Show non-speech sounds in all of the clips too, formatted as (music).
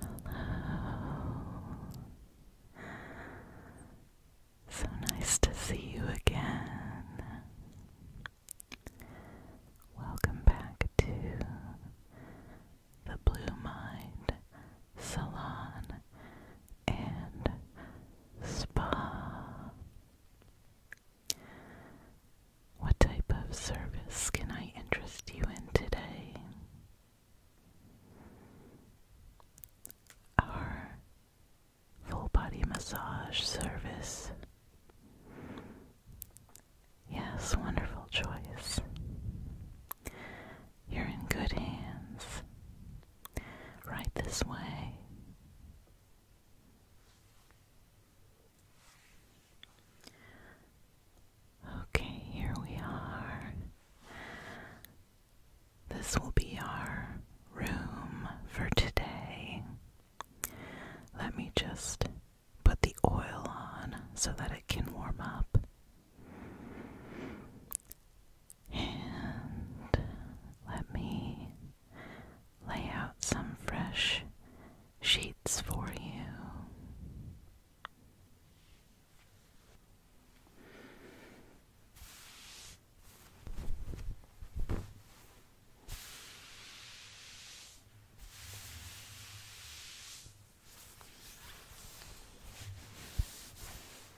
Hello. So nice to see you again. Welcome back to the Blue Mind Salon and spa. What type of service can I interest you in today? Our full body massage service. Yes, wonderful choice. You're in good hands. Right this way. Okay, here we are. This will be our room for today. Let me just put the oil on so that it can warm up. And let me lay out some fresh sheets for you.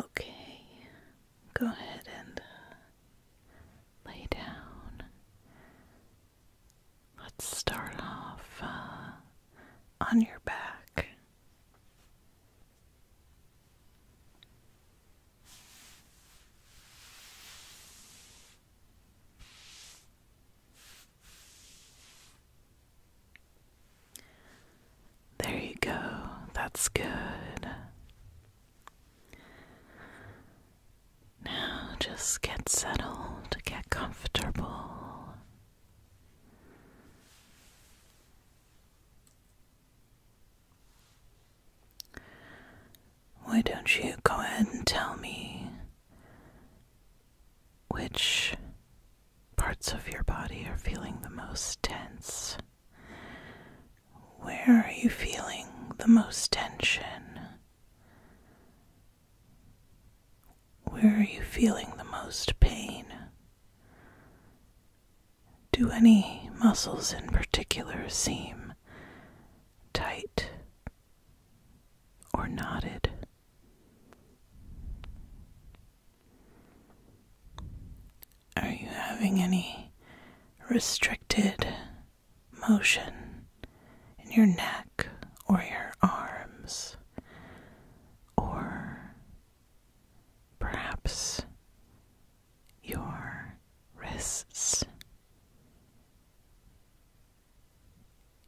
Okay, go ahead and lay down. Let's start off uh, on your back. There you go, that's good. Now just get settled, get comfortable. Why don't you go ahead and tell me which parts of your body are feeling the most tense? Where are you feeling the most tension? Where are you feeling the most pain? Do any muscles in particular seem tight or knotted? Are you having any restricted motion in your neck or your arms? Or perhaps your wrists,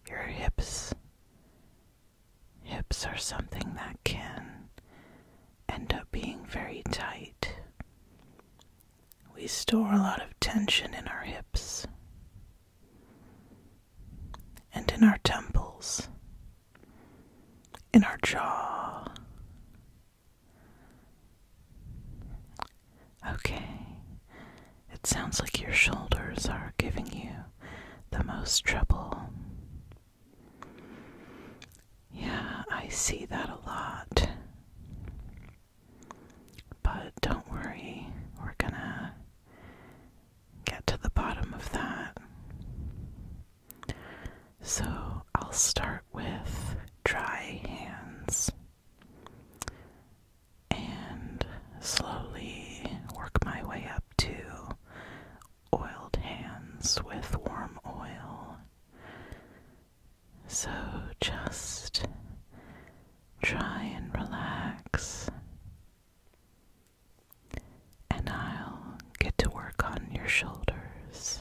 your hips. Hips are something that can end up being very tight. We store a lot of tension in our hips and in our temples, in our jaw, Okay, it sounds like your shoulders are giving you the most trouble. Yeah, I see that a lot. But don't worry, we're gonna get to the bottom of that. So I'll start with dry hands and slowly work my way up to oiled hands with warm oil. So just try and relax. And I'll get to work on your shoulders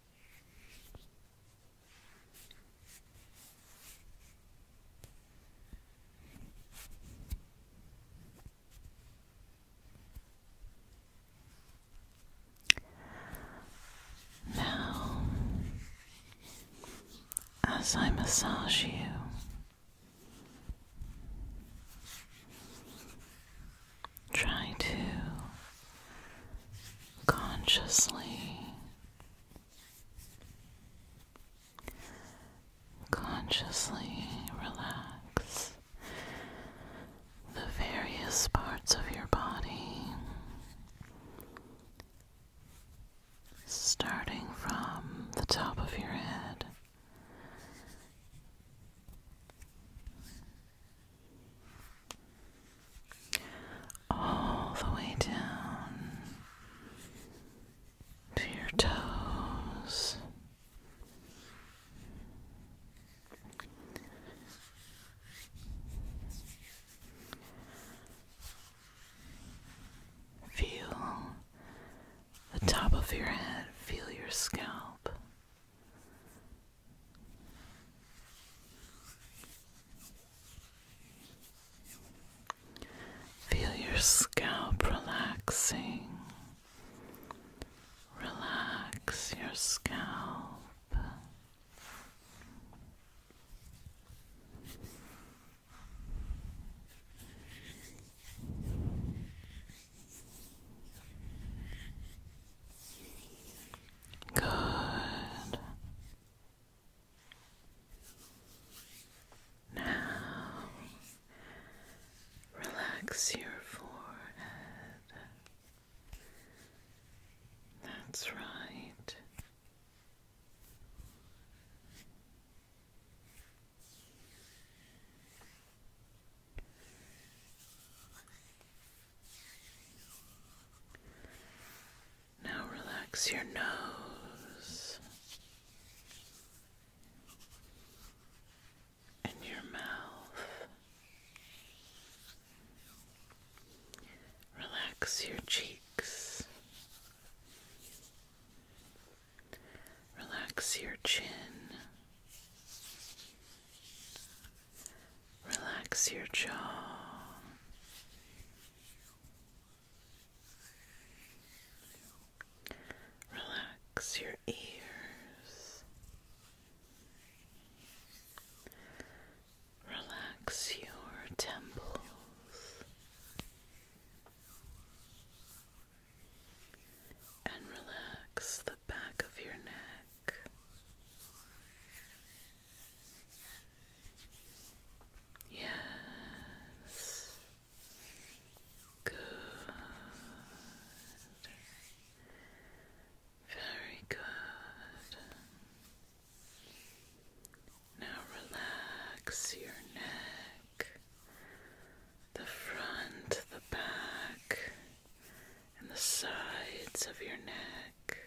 Now, as I massage you, try to consciously Consciously relax the various parts of your body, starting from the top of your head all the way down to your toes. Feel the top of your head, feel your scalp. Feel your scalp relaxing. Relax your scalp. Good. Now, relax your forehead. That's right. Now relax your nose and your mouth. Relax your cheeks. Relax your chin. Relax your jaw. Relax your ears. Relax your temples. And relax the back of your neck. Yes. Good. Very good. Now relax your neck, the front, the back, and the sides of your neck.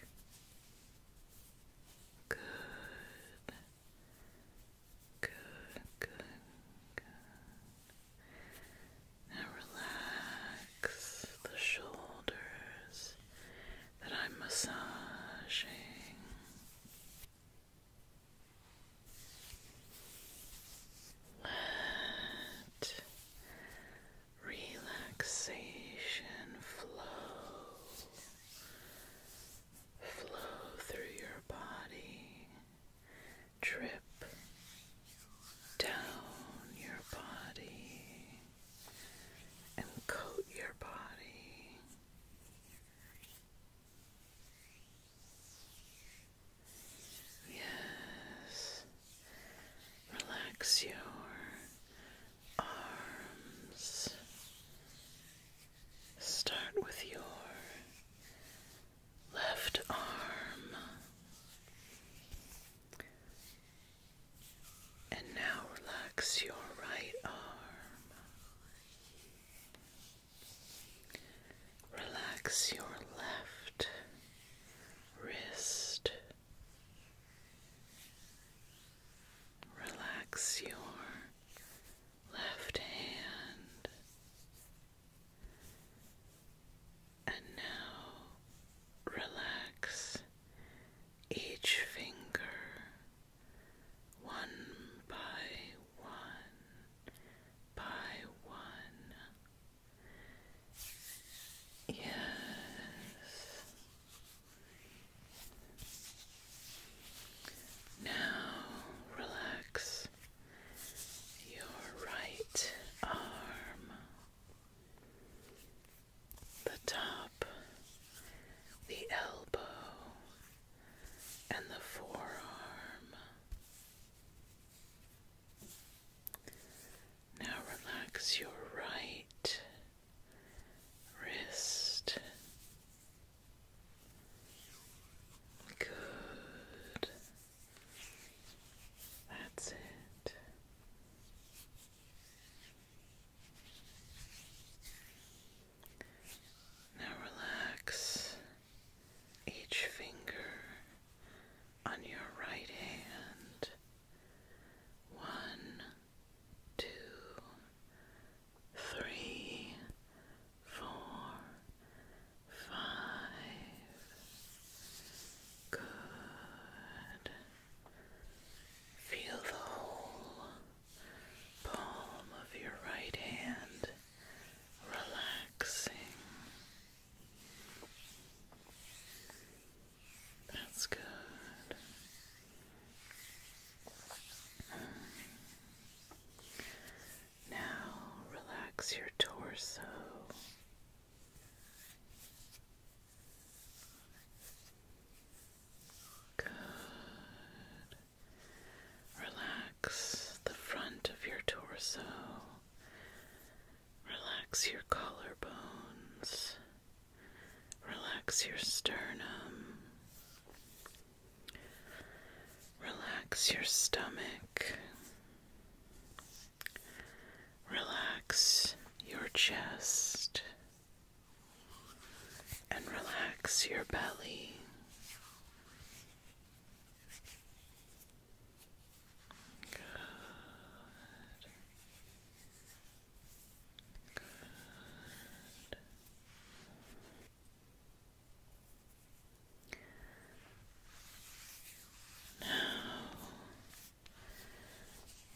Good. Good, good, good. Now relax the shoulders that I'm massaging. Let relaxation flow flow through your body drip down your body and coat your body Yes, relax your arms. Start with your left arm. And now relax your right arm. Relax your left wrist. Relax your left hand. And now relax each finger one by one by one. Yes. Now relax your right arm, the top, the elbow, and the forearm. Now relax your right wrist. Good. That's it. Now relax each finger on your right hand. One, two, three, four, five. Good. Feel the whole palm of your right hand relaxing. That's good. Now relax your torso. Good. Relax the front of your torso. Relax your collarbones. Relax your sternum. Relax your stomach. Relax your chest. And relax your belly. Good. Now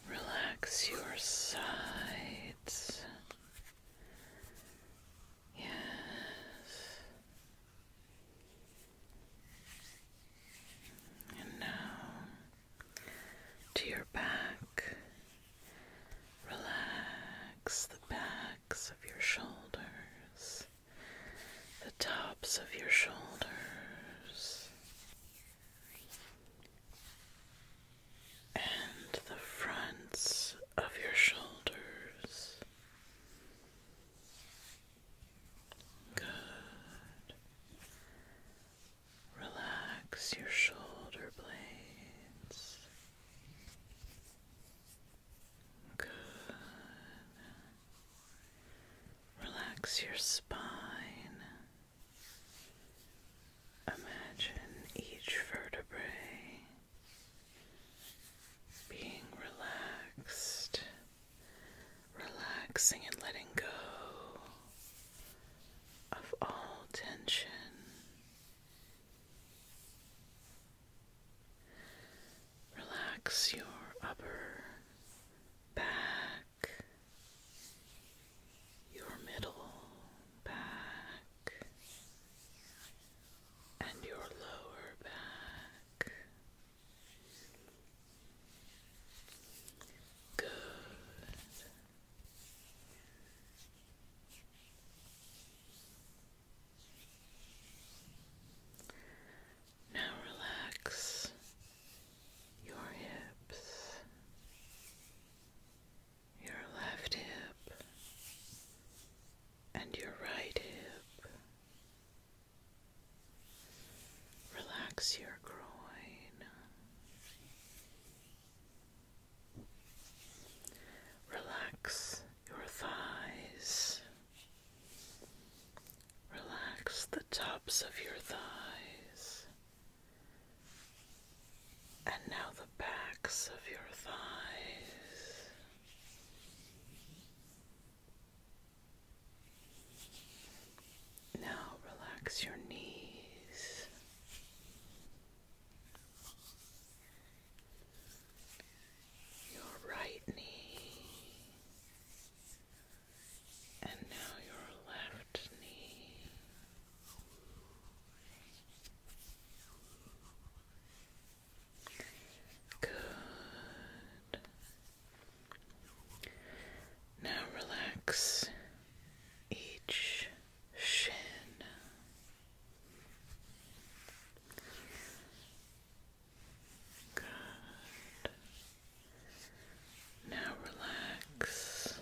relax your sides. Yes. And now to your back. Relax the backs of your shoulders, the tops of your shoulders, and the fronts of your shoulders. Good. Relax your shoulder blades. Good. Relax your spine. Imagine each vertebra being relaxed relaxing and letting go of all tension. Relax your upper back, your middle back, and your lower back. Now relax your hips, your left hip, and your right hip. Relax your groin. Relax your thighs. Relax the tops of your thighs. And now the backs of your thighs. Now relax your knees. Your right knee, and now your left knee. Good. Now relax each shin. Good. Now relax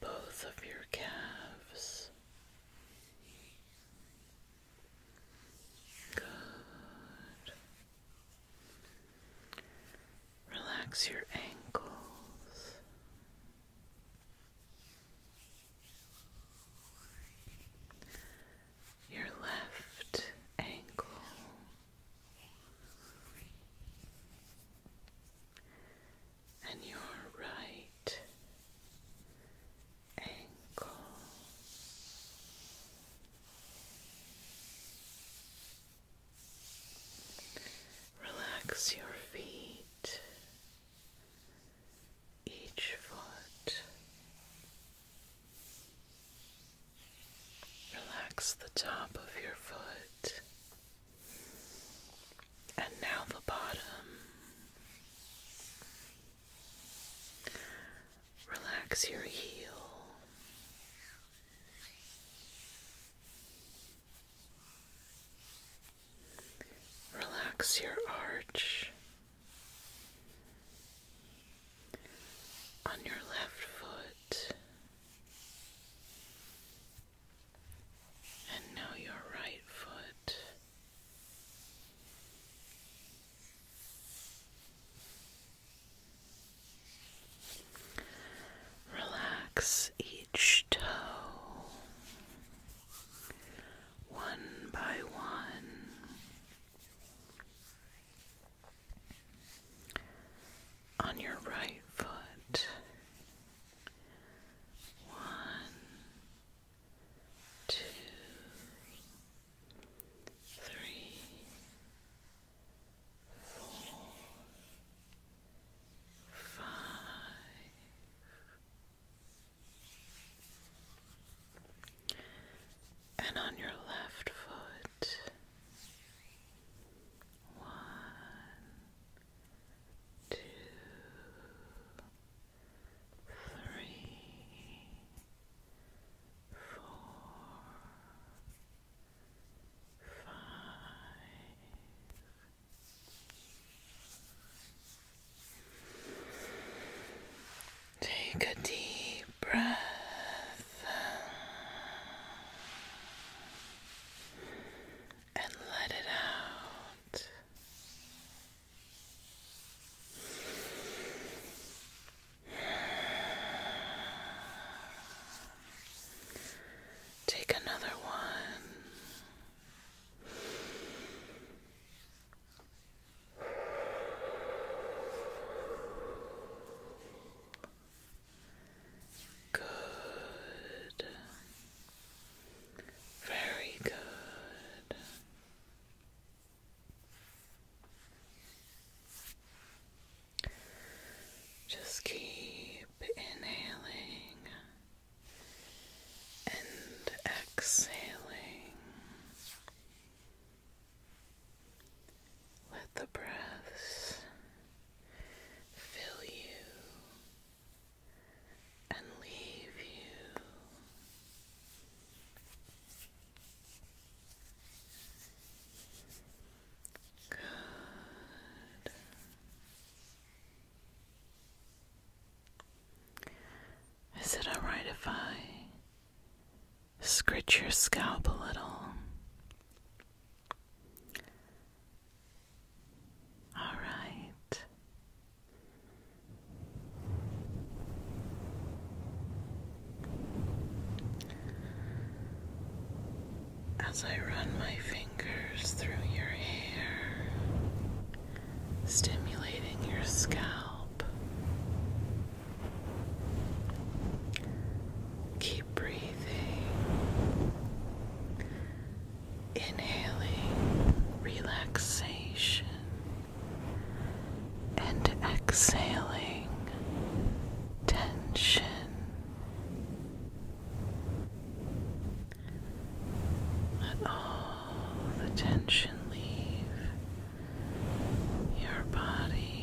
both of your calves. Good. Relax your ankles. Your left ankle, and your right ankle, Relax your feet, each foot. Relax the top of your foot and now the bottom. Relax your heel. Relax your arch on your left foot and now your right foot. Relax each toe one by one. On your right foot, one, two, three, four, five. And on your left foot, one, two, three, four, five. Take a deep breath. And let it out. Take another one. Good. Very good. Just keep inhaling and exhaling. Let the breaths fill you and leave you. Is it alright if I scratch your scalp a little? Alright. As I run my fingers through your hair, stimulating your scalp, keep breathing, inhaling relaxation and exhaling tension. Let all the tension leave your body.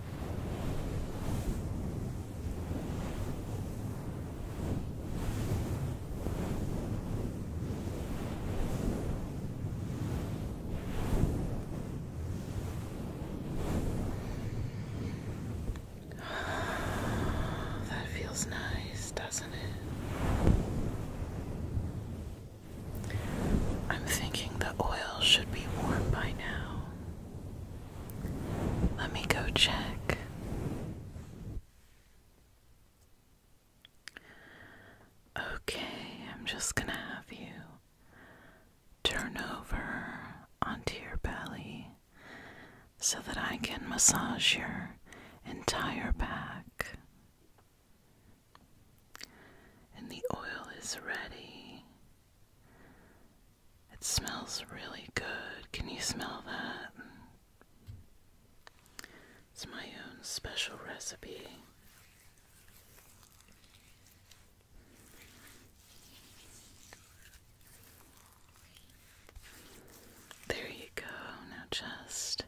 (sighs) That feels nice, doesn't it? I'm thinking the oil should be warm by now. Let me go check. Okay, I'm just gonna have you turn over onto your belly so that I can massage your entire back. And the oil is ready. It smells really good. Can you smell that? It's my own special recipe. There you go. Now just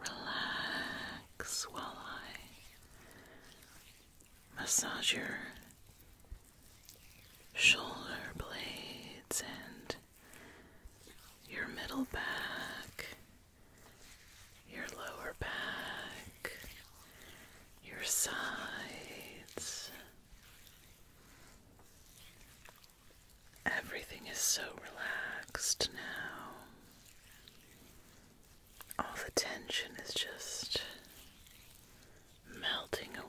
relax while I massage your shoulder blades and your middle back, your lower back, your sides. Everything is so relaxed now all the tension is just melting away.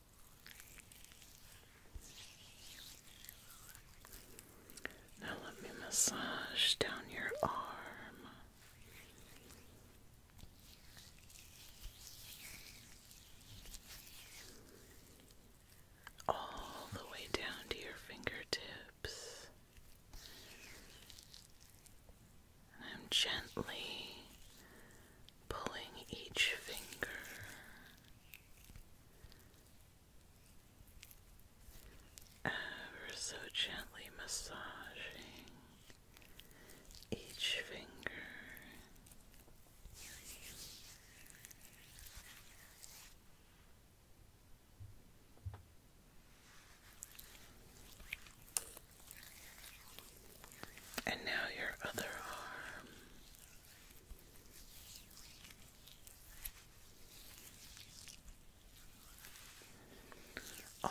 Now let me massage down your arm. All the way down to your fingertips. And I'm gently pulling each finger. Ever so gently massaging each finger. And now your other arm.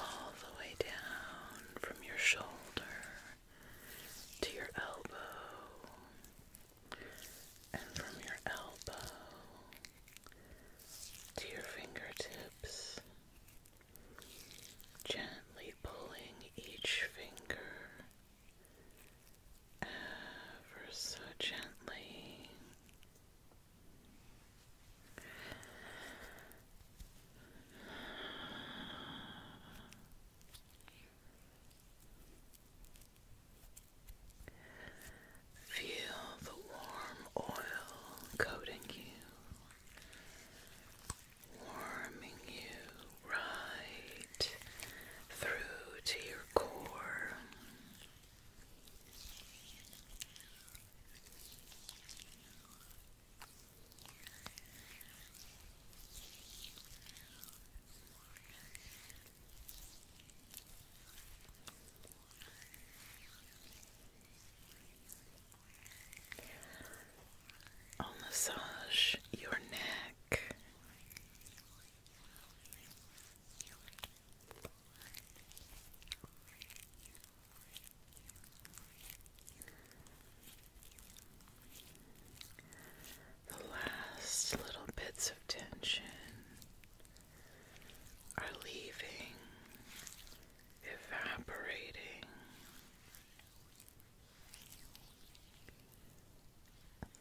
All the way down from your shoulder to your elbow, and from your elbow to your fingertips, Gently pulling each finger ever so gently. Feel the warm oil coating you warming you right through to your core. I'll massage your neck. The last little bits of tension are leaving, evaporating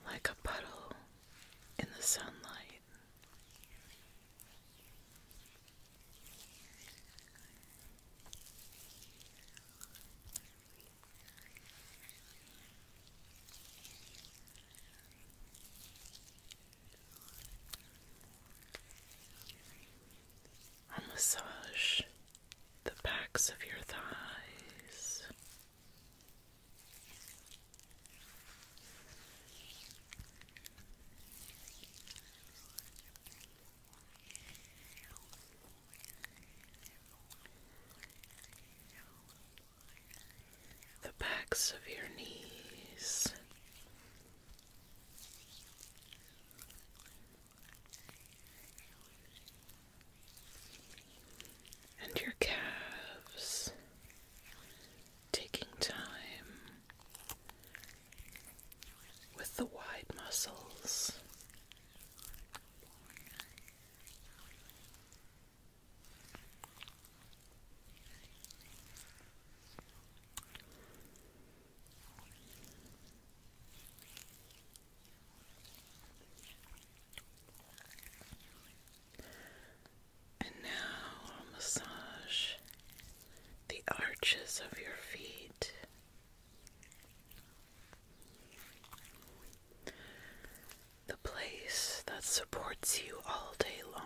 like a puddle in the sunlight. A massage the backs of your thighs. The backs of your knees, and your calves, taking time with the wide muscles. And now I'll massage the arches of your feet. The place that supports you all day long.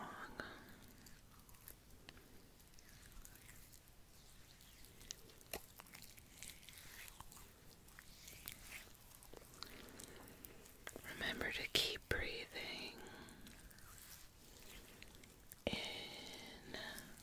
Remember to keep breathing in and out.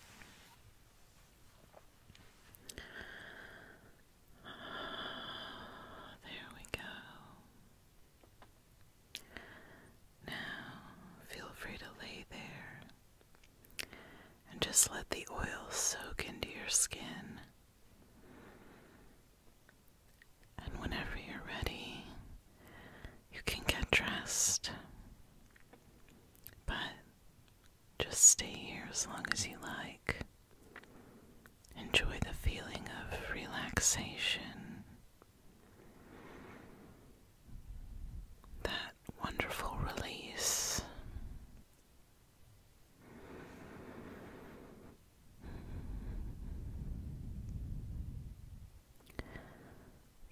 (sighs) There we go. Now, feel free to lay there and just let the oil soak into your skin. And whenever you're ready, you can get dressed. But just stay here as long as you like. Enjoy the feeling of relaxation. That wonderful release.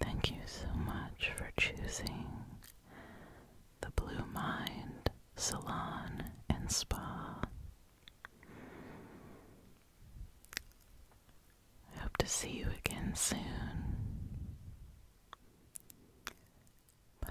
Thank you so much for choosing the Blue Mind Salon and Spa. hope to see you again soon. Bye.